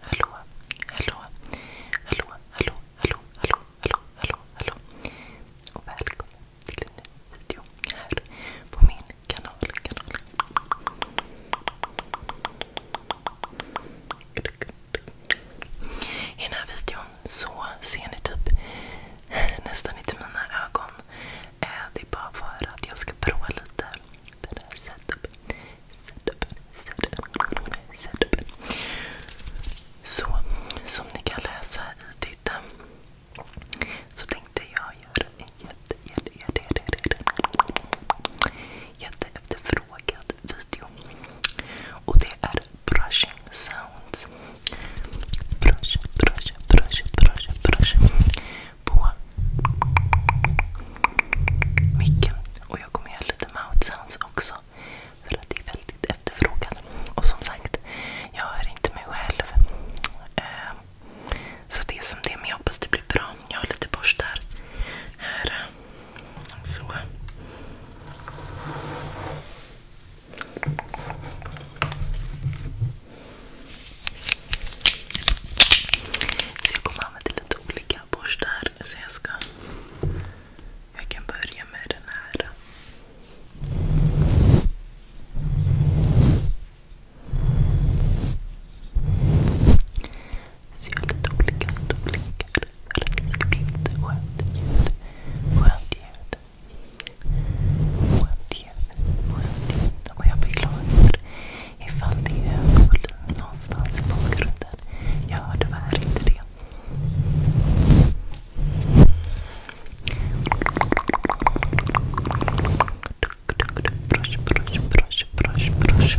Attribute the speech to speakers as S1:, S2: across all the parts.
S1: Hallå, hallå, hallå, hallå, hallå, hallå, hallå, hallå, Och välkommen till en ny video här på min kanal. I den här videon så ser ni typ nästan inte mina ögon. Eh, det är bara för att jag ska prova lite den här setupen. som ni kan läsa i titeln så tänkte jag göra en jätte, jätte, jätte, jätte, jätte, jätte efterfrågad video. Och det är brushing sounds. Brush, brush, brush, brush, brush. På micken. Och jag kommer göra lite mouth sounds också. För att det är väldigt efterfrågat. Och som sagt, jag hör inte mig själv. Uh, så det är som det är, men jag hoppas det blir bra. Jag har lite borstar här. Så. Så jag kommer använda lite olika borstar. jag kan börja med den här. Så jag har lite olika storlekar. För det ska bli skönt ljud. Skönt ljud. Oämthet. Oämthet. Och jag beklagar ifall det är ögonvolym någonstans i bakgrunden. Jag hör tyvärr inte det. Brush, brush, brush, brush, brush.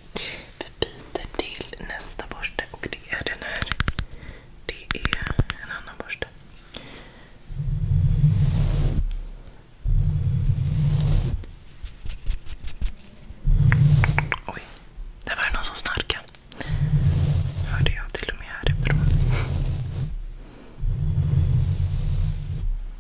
S1: Vi byter till nästa borste och det är den här. Det är en annan borste. Oj, där var det någon som snarkade. Hörde jag till och med härifrån.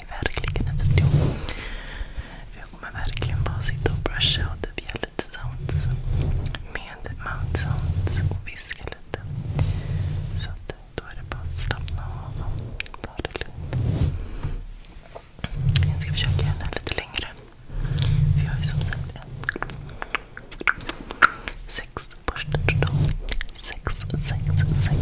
S1: ni verkligen en förstod. Jag kommer verkligen bara sitta och brusha och typ ge lite sounds med mount sounds och viska lite. Så att då är det bara att slappna av och ta det lugnt. Jag ska försöka göra det här lite längre. För jag har ju som sagt en sex borstar totalt. Sex, sex, sex.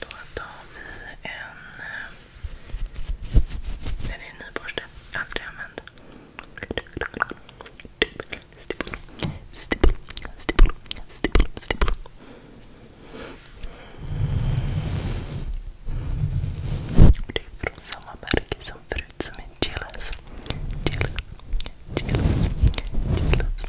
S1: Då tar vi en... Eh, den är en ny borste. Aldrig använd. Stipple, stipple, stipple, stipple, stipple. det är från samma märke som förut som är Chillas. Chillas. Chillas. Chillas.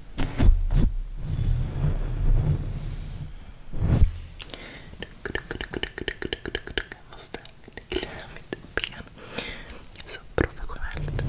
S1: Jag måste klia mitt ben. Så professionellt. Okej,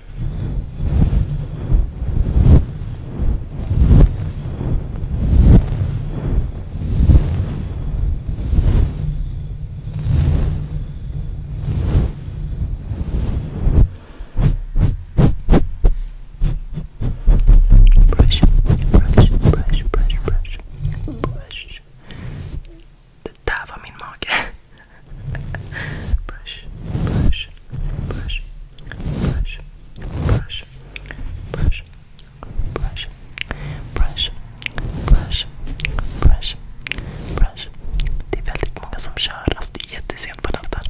S1: Brush, brush, brush, brush, brush, brush. Det där var min mage. Det är väldigt många som kör, alltså det är jättesent på natten.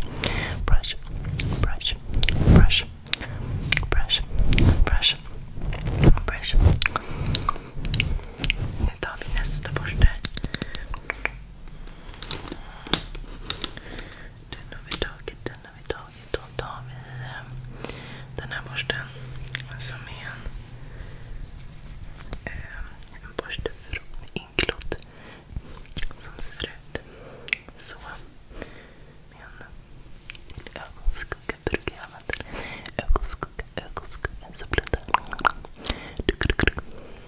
S1: Nu tar vi nästa borste. Den har vi tagit, den har vi tagit. Och tar vi eh, den här borsten som är en, eh, en borste från Inklot som ser ut så. Med en ögonskugga brukar jag använda. Ögonskugga, ögonskugga. Så blir det.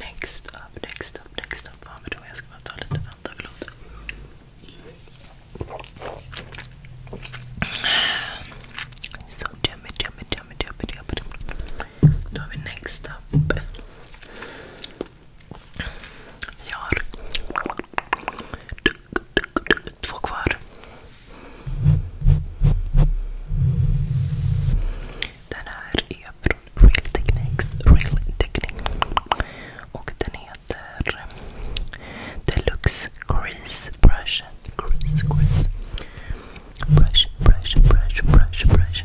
S1: Next up, next up, next up. Vad ja, men då jag ska bara ta lite Fanta, förlåt. So dummy, dummy, dummy, Då har vi next up. Jag har två kvar. Den här är från Real Techniques. Water Deluxe Grease Brush Grease Grease Brush Brush Brush Brush Brush Brush,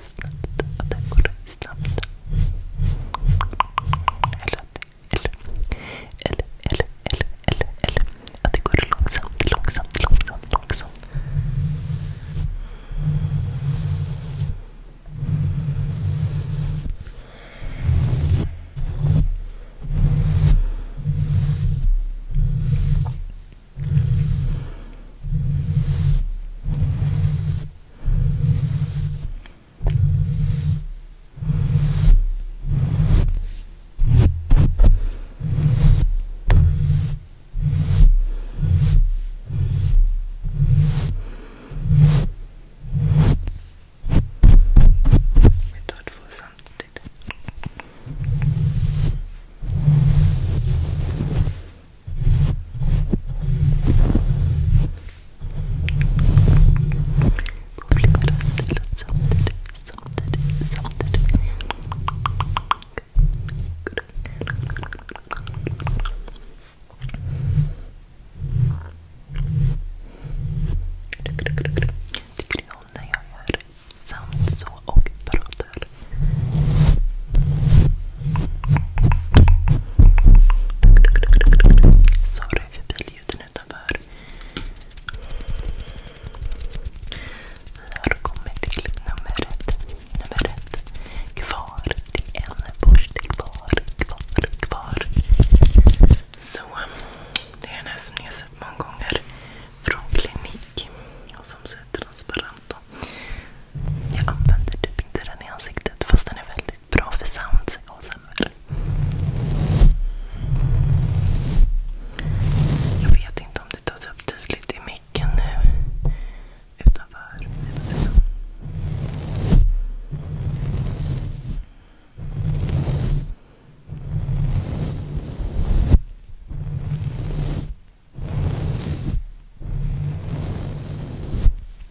S1: snabbt. Att det går snabbt. Eller, eller, eller, eller, eller, eller, eller. Att det går långsamt, långsamt, långsamt, långsamt. Vi tar två samtidigt bubblar runt i luft samtidigt, samtidigt, samtidigt. Tycker du om när jag gör sound så och pratar? Sorry för biljuden utanför. Vi har kommit till nummer ett. Kvar. Det är en borste kvar. Kvar, kvar. Så. Det är den här som ni har sett många gånger från klinik. som ser transparent ut. Jag använder typ inte den i ansiktet fast den är väldigt väldigt bra för sounds ASMR. Jag vet inte om det tas upp tydligt i micken nu. Utanför.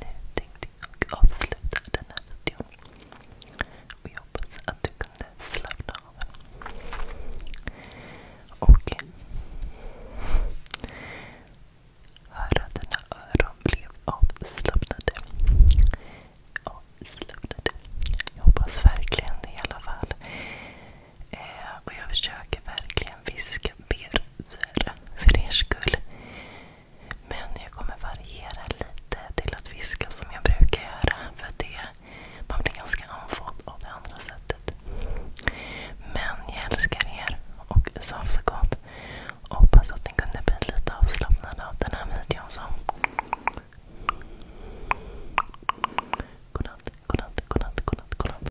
S1: Nu tänkte jag avsluta den här videon. Och jag hoppas att du kunde slappna av. Och höra att dina öron blev avslappnade. Avslappnade. Jag hoppas verkligen i alla fall. Eh, och jag försöker verkligen viska berser för er skull. Men jag kommer variera lite till att viska som jag brukar göra. För det, man blir ganska andfådd av det andra sättet. Men jag älskar er och sov så gott. Och hoppas att ni kunde bli lite avslappnade av den här videon. Så. Godnatt, godnatt, godnatt, godnatt, godnatt.